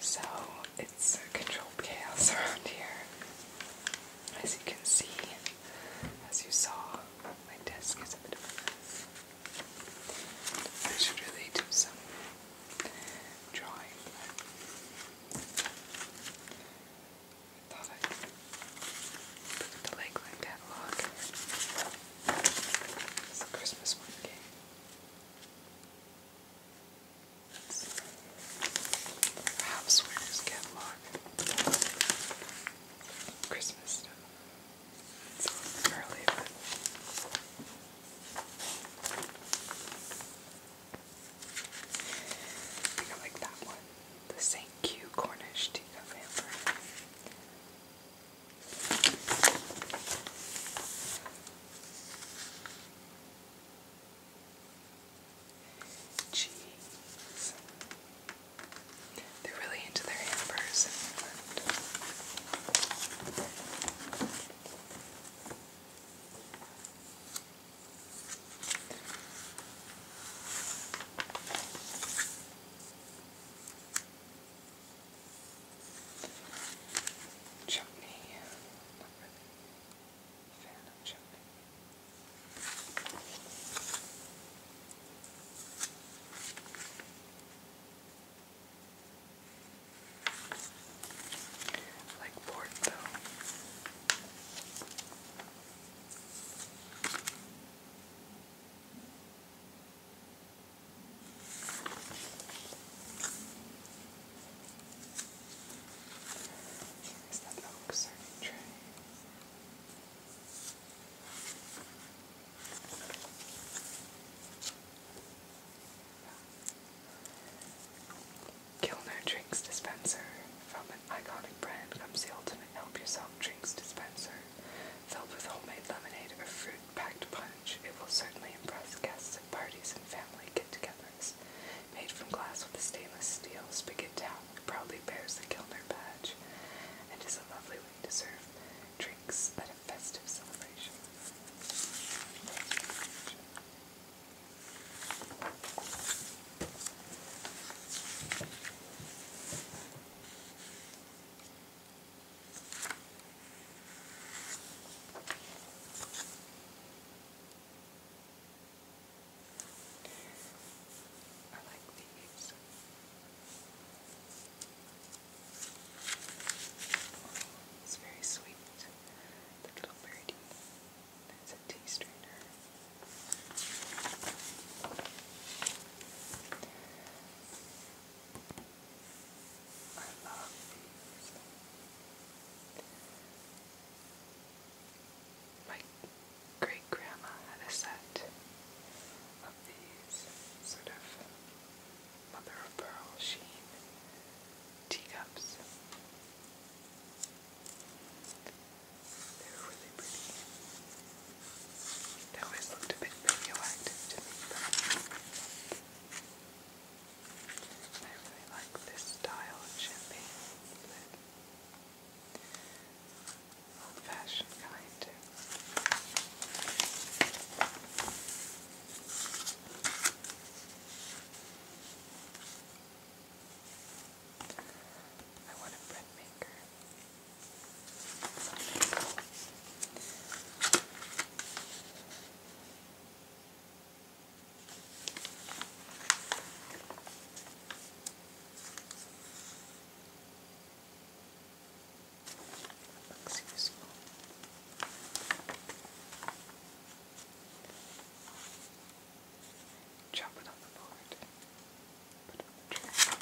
So it's a controlled chaos around here. As you can see, as you saw, my desk is a bit of a mess. I should really do some drawing. thought I'd put the Lakeland catalog it's a Christmas one game. Perhaps Winners Catalog. Christmas stuff. It's early, but. I like that one. The St. Q Cornish teacup hamper. Jeez. They're really into their hampers. Chutney, not really a fan of chutney. like port there's serving tray. Kilner Drinks Dispenser. From an iconic brand comes the ultimate help yourself drinks dispenser filled with homemade lemonade or fruit-packed punch. It will certainly impress guests at parties and family get-togethers. Made from glass with a stainless steel spigot tap, it proudly bears the Kilner badge and is a lovely way to serve drinks at a festive celebration. I like these. It's very sweet. The little birdie. That's a tea strainer. I love My great grandma had a set of these sort of mother of pearl sheen teacups. They're really pretty. They always looked a bit radioactive to me, I really like this style of champagne. Old fashioned kind I want a bread maker. useful. Chop it on the board. Put it on the tray.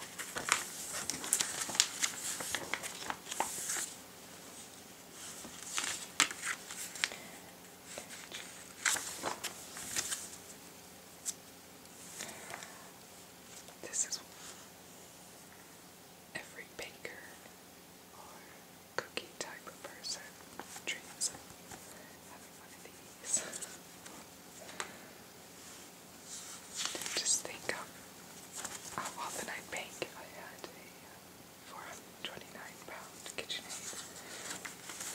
This is every baker or cookie type person dreams of having one of these these. Just think of how often I'd I had a uh, 429 pound KitchenAid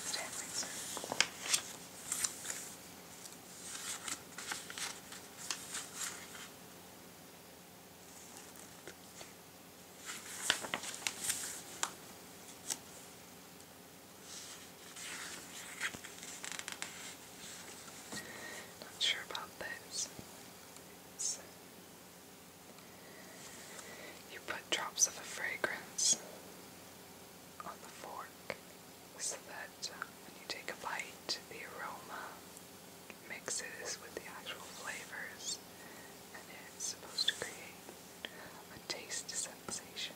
stand mixer. Not sure about those. you put drops of a fragrance on the fork so that uh, when you take a bite, the aroma mixes with the actual flavors and it's supposed to create a taste sensation.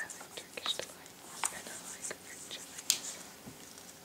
I like Turkish delight, and I like French, I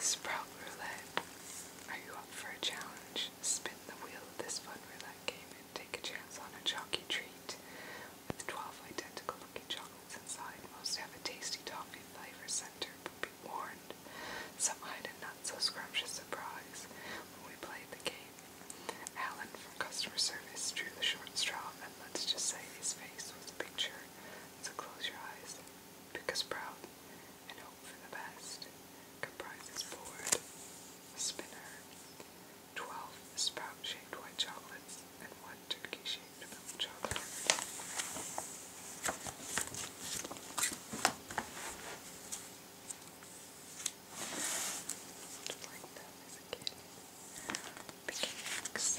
Sprout roulette. Are you up for a challenge? Spin the wheel of this fun roulette game take a chance on a chalky treat. With 12 identical looking chocolates inside, most have a tasty toffee flavor center, but be warned, some hide a not so scrumptious surprise when we played the game. Alan from customer service drew the short straw, and let's just say his face was a picture, so close your eyes, pick us proud, and hope for the best. Comprises board, spinner, 12 spout shaped white chocolates, and 1 turkey shaped milk chocolate. Just like that as a kid. Picnics.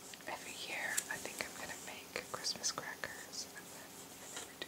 every year I think I'm gonna make Christmas crackers and I never do.